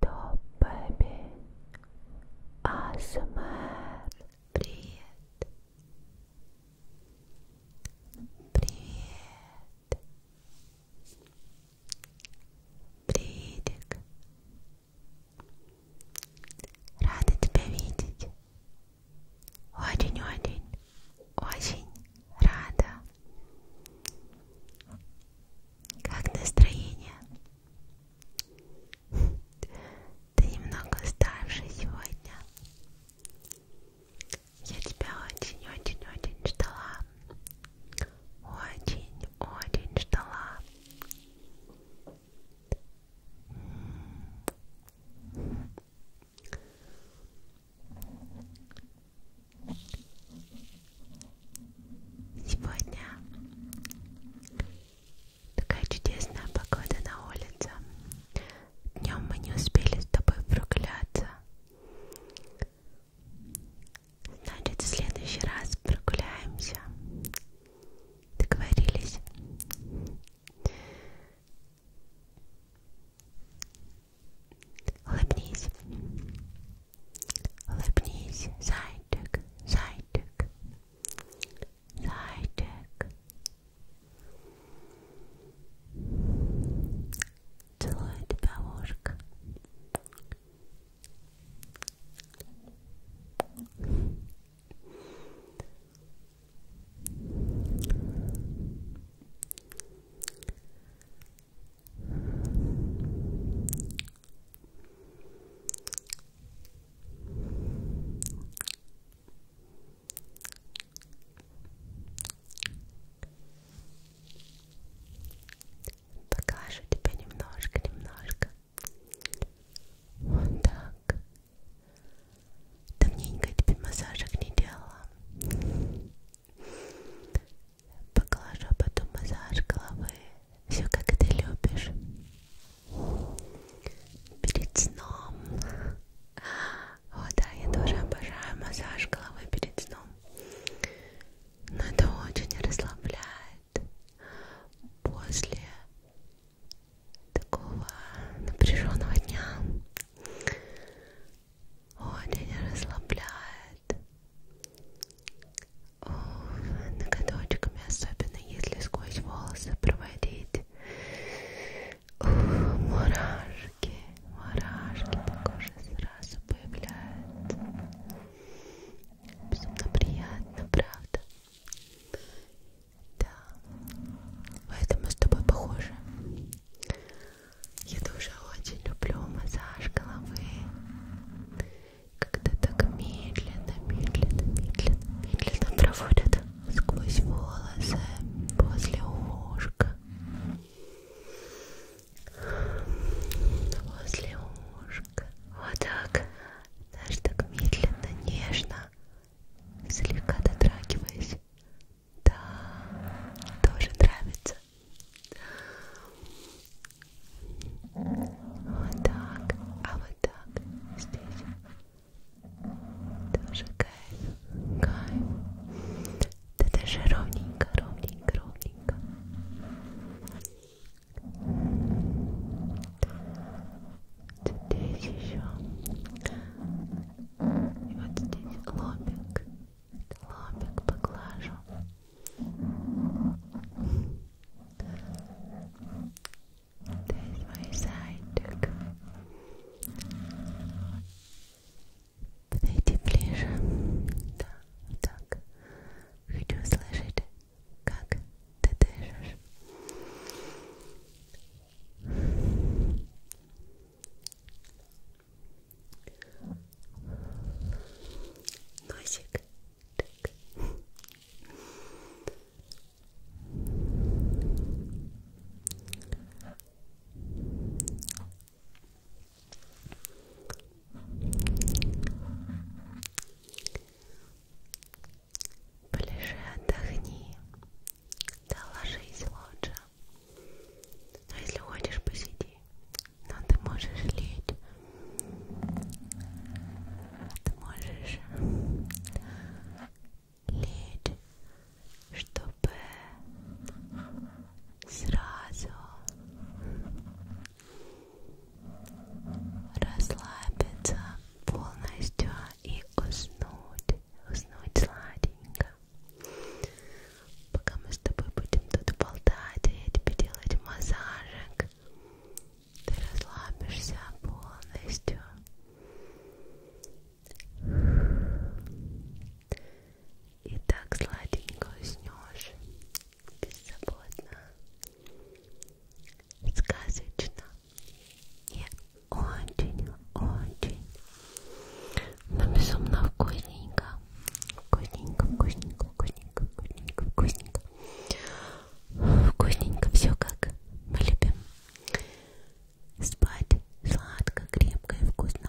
Top Baby ASMR Привет Привет Приветик Рада тебя видеть Очень-очень Очень рада как настроение? Ты немного старше сегодня. Я тебя очень-очень-очень ждала. Очень-очень ждала. Сегодня такая чудесная погода на улице. Днем мы не успели с тобой прогуляться. Значит, в следующий раз прогуляемся. Договорились. Улыбнись. Улыбнись, зайчик, зайчик, зайчик. Целую тебя, ложка. Поглажу тебя немножко, немножко. Вот так. Давненько я тебе массажик не делала. Поглажу потом массаж головы. Все как ты любишь. Перед сном. О да, я тоже обожаю массаж головы перед сном. Но это очень расслабляет. После такого напряженного дня очень расслабляет. О, ноготочками, особенно если сквозь волосы проводить. О, мурашки, мурашки на коже сразу появляются. Безумно приятно, правда? Да, поэтому с тобой похоже. Я тоже очень люблю массаж головы когда так медленно, медленно, медленно, медленно проводят сквозь волосы после ушка, после ушка, вот так, даже так медленно, нежно, слегка дотрагиваясь, да, тоже нравится. Вот так, а вот так здесь тоже кайф, кайф. Да даже ровненько, ровненько, ровненько. Здесь еще. И вот здесь лобик, лобик поглажу. There's my side duck. Подойди ближе. Да, так. Хочу услышать, как ты дышишь. Носик так. Полежи, отдохни, да ложись лучше. Но если хочешь, посиди но ты можешь лечь, ты можешь лечь, чтобы сразу расслабиться полностью и уснуть, уснуть сладенько. Пока мы с тобой будем тут болтать, я тебе делать массажик, так ты расслабишься полностью. И так сладенько уснешь, беззаботно, сказочно и очень-очень, но безумно вкусненько, вкусненько, вкусненько, вкусненько, вкусненько, вкусненько. Вкусненько все как мы любим. Спать сладко, крепко и вкусно.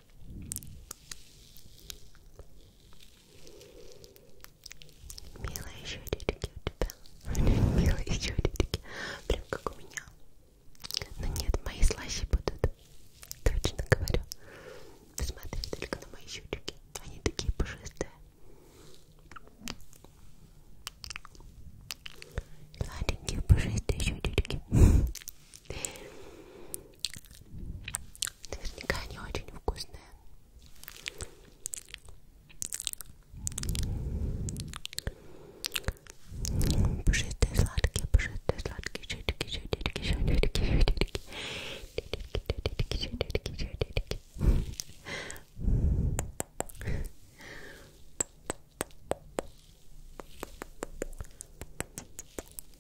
Милые щелечки у тебя. Милые щелечки. Прям как у меня. Но нет, мои слаще будут. Точно говорю. Смотри только на мои щелечки. Они такие пушистые. Сладенькие пушистые щелечки. Наверняка они очень вкусные. Пушистые сладкие, пушистые сладкие, чудики, чудики, чудики, чудики, чудики, чудики, чудики,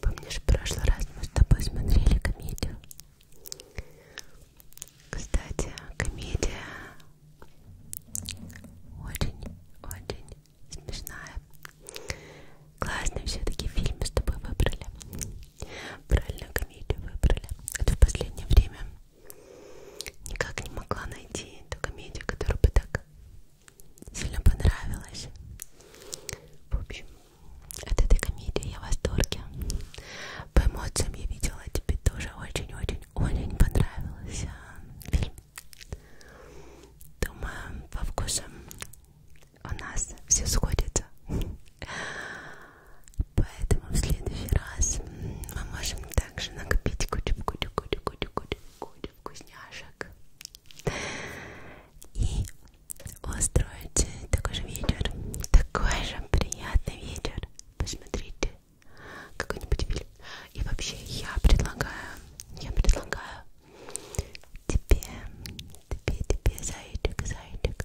Помнишь, в прошлый раз мы с тобой смотрели комедию? Кстати, комедия очень-очень смешная Классный все-таки фильм с тобой выбрали. Правильную комедию выбрали. Это а в последнее время никак не могла найти ту комедию, которая бы так сильно понравилась. В общем, от этой комедии я в восторге. По эмоциям я видела, тебе тоже очень-очень-очень понравился фильм. Думаю, по вкусам у нас все сходится. Поэтому в следующий раз мы можем также накопить кучу-кучу-кучу-кучу-кучу вкусняшек и устроить такой же вечер, такой же приятный вечер. Посмотрите какой-нибудь фильм. И вообще я предлагаю, я предлагаю Тебе, тебе, тебе, зайчик, зайчик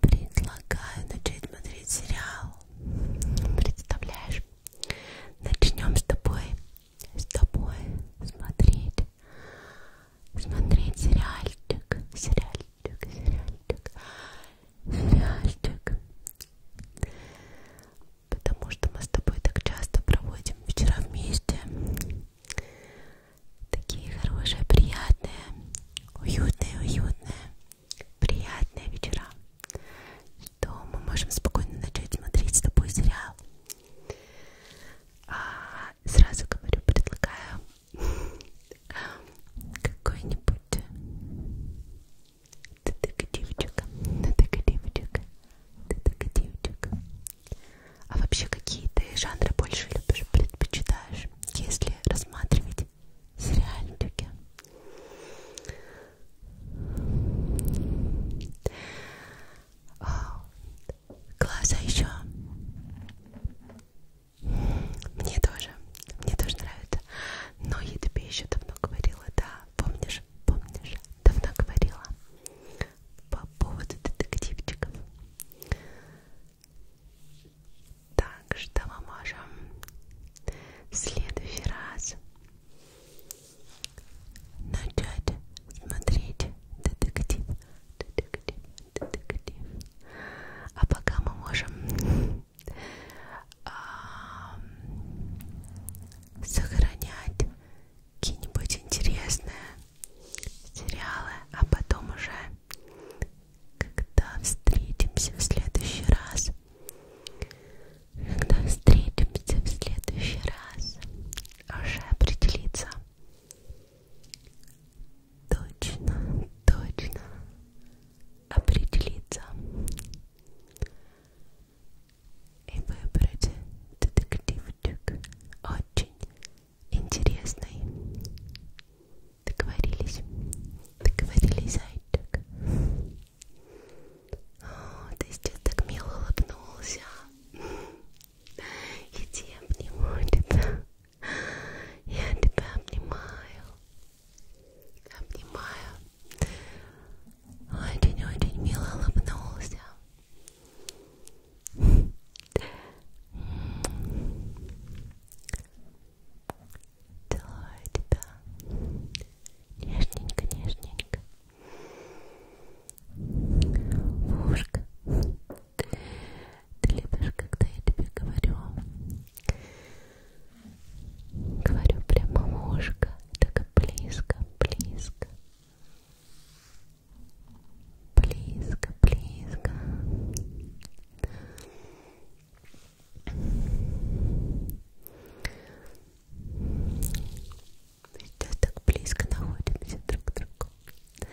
Предлагаю начать смотреть сериал Представляешь? Начнем с тобой С тобой смотреть Смотреть сериальчик Сериальчик, сериальчик Сериальчик Потому что мы с тобой так часто проводим вечера вместе Такие хорошие, приятные, уютные, уютные, приятные вечера, что мы можем спокойно начать смотреть с тобой сериал. А сразу говорю, предлагаю какой-нибудь детективчик, детективчик, детективчик, а вообще какие ты жанры больше любишь, предпочитаешь, если рассматривать сериальчики? О, а, глаза еще. Мне тоже, мне тоже нравится. Но я тебе еще давно говорила, да, помнишь, помнишь, давно говорила по поводу детективчиков. Так что мы можем в следующий раз начать смотреть детектив, детектив, детектив. А пока мы можем сохранять какие-нибудь интересные сериалы, а потом уже, когда встретимся в следующий раз, когда встретимся в следующий раз, уже определиться точно, точно определиться и выбрать детектив мультик очень интересный. Договорились? Договорились, зайчик? О, ты сейчас так мило улыбнулся. Я тебя обнимаю, тебя. Я тебя обнимаю. Обнимаю. Очень-очень мило улыбнулся. Целую тебя нежненько, нежненько. Вушка, ты любишь, когда я тебе говорю? Говорю прямо в ушко, так близко, близко близко, близко. Сейчас так близко находимся друг к другу. Сейчас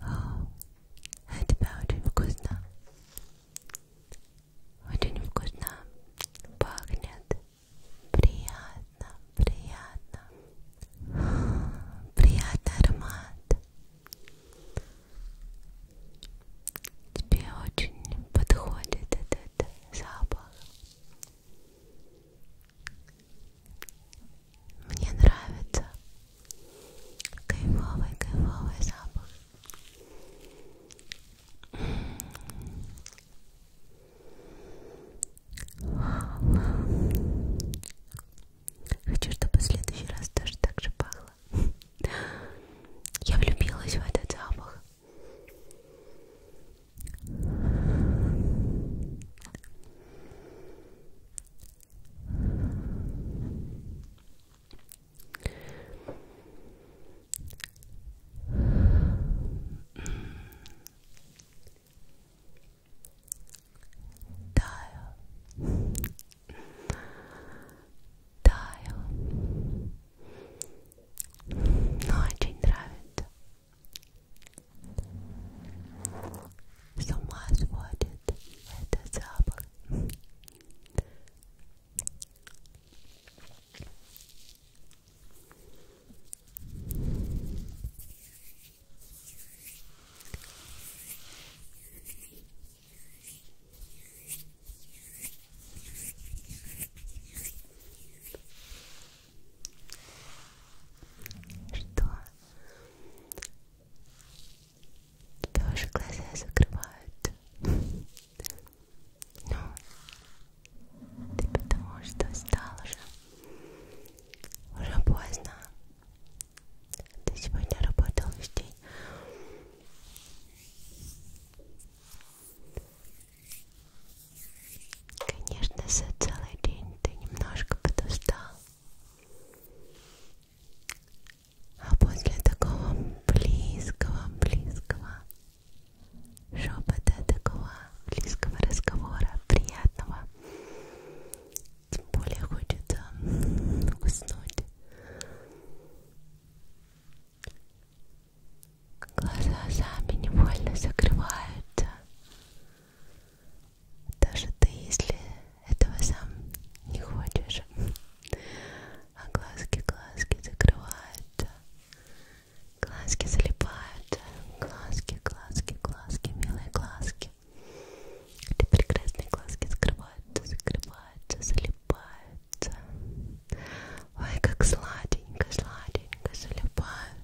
О, это прям очень вкусно. Очень вкусно. Пахнет. Приятно, приятно. О, приятный аромат. Тебе очень подходит этот запах. Мне нравится кайфовый, кайфовый запах. Хочу, чтобы в следующий раз тоже так же пахло. Я влюбилась в этот запах. Таю, таю, но ну, очень нравится. С ума сводит этот запах. Что тоже глаза закрывают. Ну, ты потому что стал уже. Уже поздно. Ты сегодня работал весь день. Конечно, за целый день ты немножко подустал. А после такого близкого, близкого шепота, такого близкого разговора, приятного, тем более хочется уснуть. Глаза сами невольно закрываются даже ты, если этого сам не хочешь, а глазки, глазки закрываются, глазки залипают, глазки, глазки, глазки, милые глазки, эти прекрасные глазки закрываются, закрываются, залипаются, ой, как сладенько, сладенько залипают.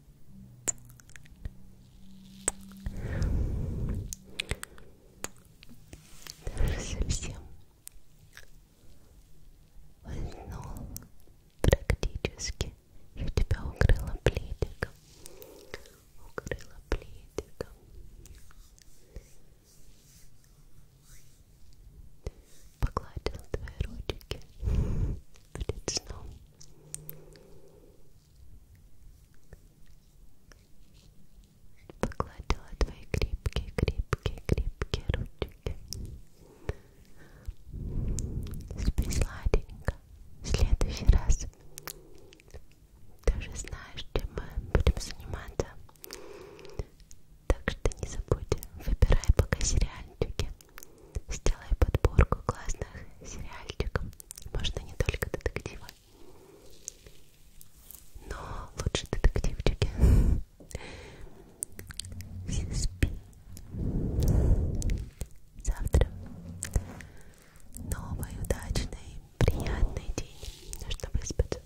Даже совсем уснул практически. Я тебя укрыла пледиком. Укрыла пледиком. Погладил твои ручки перед сном. Погладила твои крепкие-крепкие-крепкие ручки. Спи сладенько. В следующий раз ты уже знаешь, чем мы будем заниматься. Так что не забудь, выбирай пока сериальчики. Сделай подборку классных сериальчиков. Можно не только детективы, но лучше детективчики. Все спи. Завтра новый, удачный, приятный день. Нужно выспаться.